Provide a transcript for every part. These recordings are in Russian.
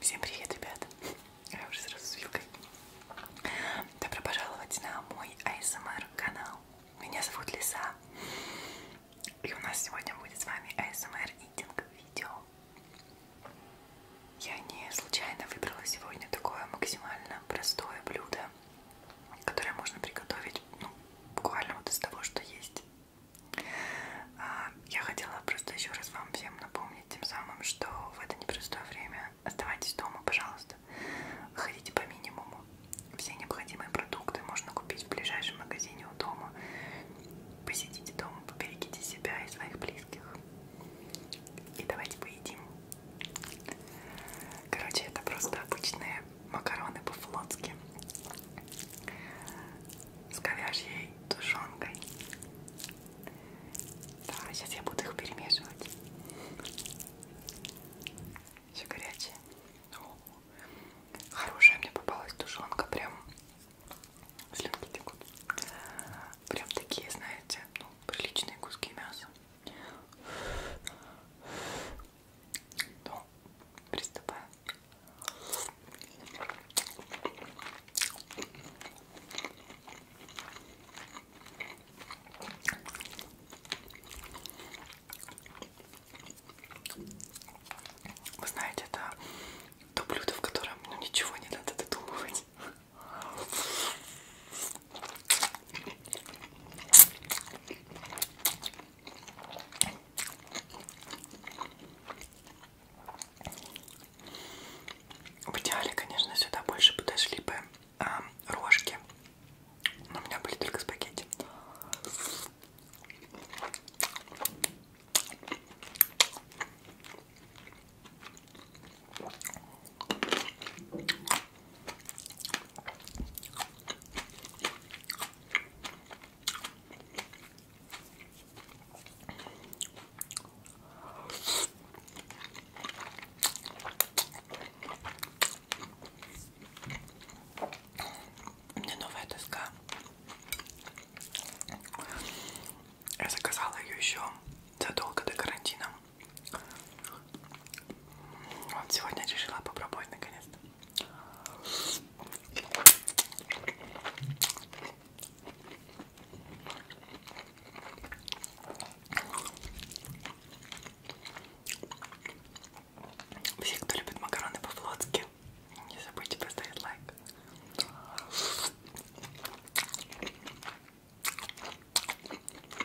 Всем привет, ребята! Я уже сразу с вилкой. Добро пожаловать на мой ASMR канал. Меня зовут Лиса. И у нас сегодня будет с вами ASMR Eating видео. Я не случайно выбрала сегодня такое максимально простое блюдо которое можно приготовить ну, буквально вот из того, что есть. А, я хотела просто еще раз вам всем напомнить тем самым, что в это непростое время оставайтесь дома, пожалуйста. Ходите по минимуму. Все необходимые продукты можно купить в ближайшем магазине у дома. Посидите дома, поберегите себя и своих близких. И давайте поедим. Короче, это просто обычные макароны по-флотски с говяжьей тушенкой. Да, сейчас я буду их перемешивать. Все горячее. О, хорошая мне попалась тушенка, прям слюнки текут. Прям такие, знаете, ну, приличные куски мяса. Ну, приступаем. Вы знаете, это то блюдо, в котором ну, ничего не надо додумывать. В идеале, конечно, сюда больше подошли бы э, рожки. Но у меня были только спагетти. У меня новая доска. Я заказала ее еще задолго до карантина. Вот сегодня решила попробовать наконец-то. Все, кто любит макароны по-флотски, не забудьте поставить лайк.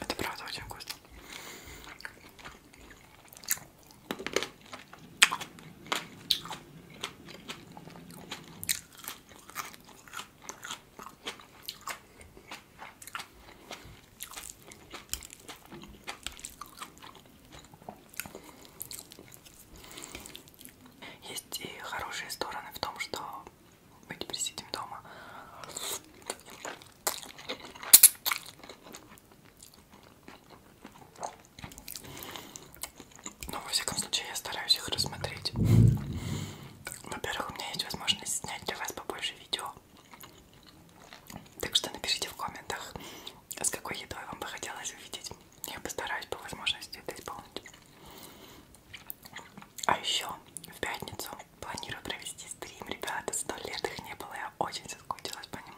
Это правда очень вкусно. Есть и хорошие стороны в том, что мы теперь сидим дома. Но ну, во всяком случае я стараюсь их рассмотреть. Во-первых, у меня есть возможность снять для вас побольше видео. Так что напишите в комментах, с какой едой вам бы хотелось увидеть. Я постараюсь по возможности это исполнить. А еще в пятницу планирую провести стрим, ребята. Сто лет их не было, я очень соскучилась по ним.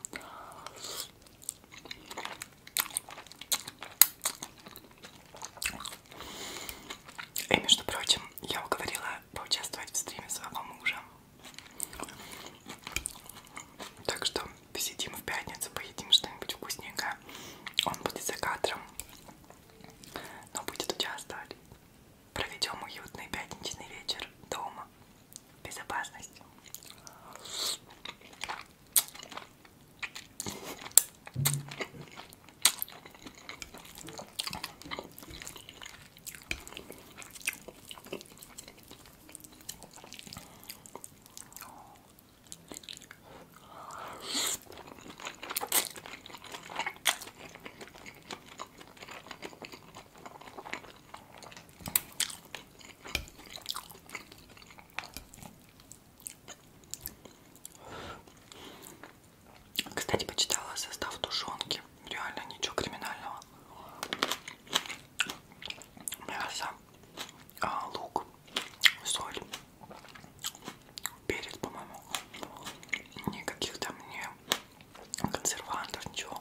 И, между прочим, я уговорила поучаствовать в стриме своего мужа. Так что посидим в пятницу, поедим что-нибудь вкусненькое. Он будет за кадром, но будет участвовать. Проведем уютный пятничный вечер дома в безопасности. Кстати, почитала состав тушенки. Реально ничего криминального. Мясо, а, лук, соль, перец, по-моему. Никаких там не консервантов, ничего.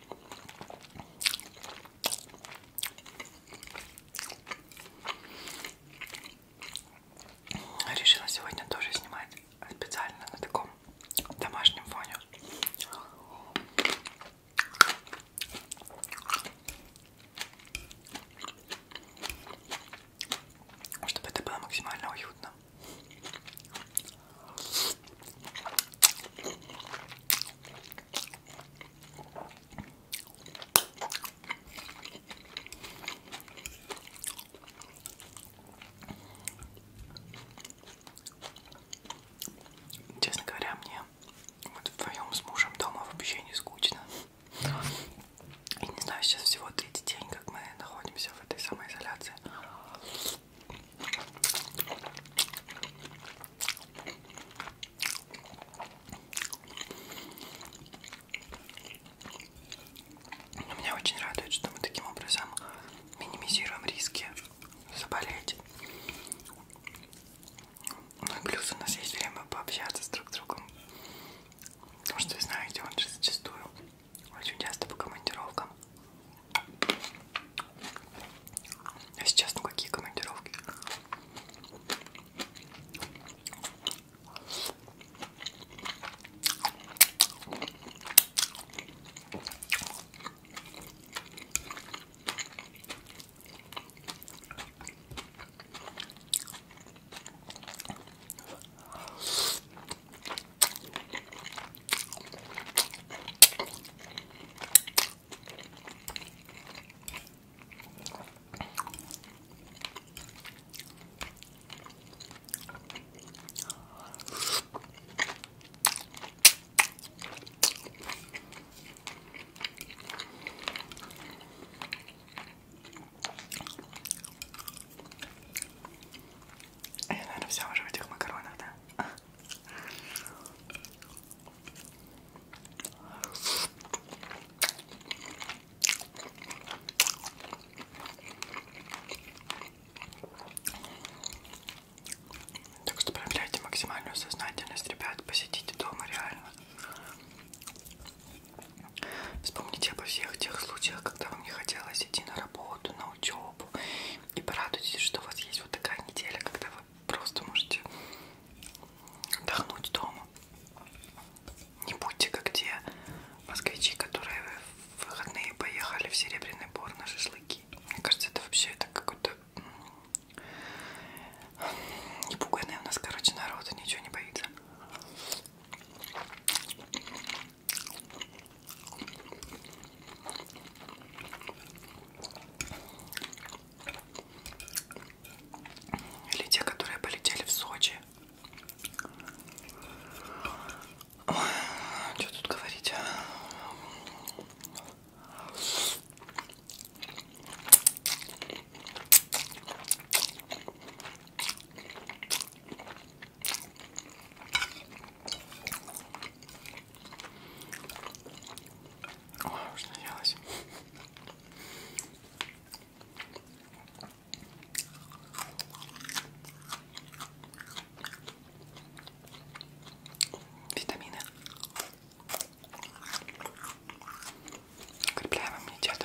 Решила сегодня тоже снимать специально на таком домашнем фоне. Чтобы это было максимально уютно. Честно говоря, мне вот вдвоем с мужем дома вообще не скучно. Я не знаю, сейчас всего третий день, как мы находимся в этой самоизоляции. Но меня очень радует, что мы таким образом минимизируем риски заболеть. Ну и плюс у нас есть время пообщаться с друг с другом. Потому что, знаете, он же зачастую очень часто по командировкам а сейчас ну какие командировки? Я, э, наверное, все уже в этих макаронах, да? Так что проявляйте максимальную сознательность, ребят, посетите дома реально. Вспомните обо всех тех случаях, когда вам не хотелось идти на работу, на учебу, и порадуйтесь, что у вас есть вот такая неделя, когда вы просто можете отдохнуть дома. Не будьте как те москвичи, которые в выходные поехали в Серебряный Бор на шашлыки. Мне кажется, это вообще это какой-то непуганный у нас, короче, народ, ничего не боится. Или те, которые полетели в Сочи. Ой, что тут говорить? Ой, уж наелась. Витамины. Укрепляем иммунитет.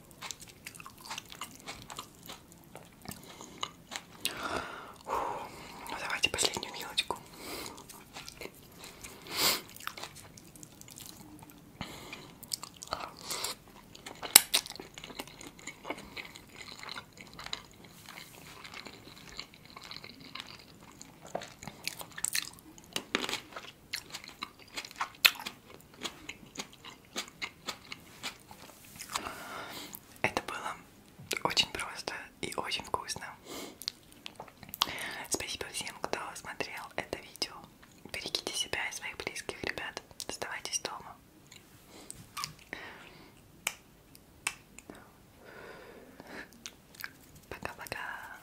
Ну, давайте последнюю мелочку. Это было очень просто и очень вкусно. Спасибо всем, кто смотрел это видео. Берегите себя и своих близких, ребят. Оставайтесь дома. Пока-пока.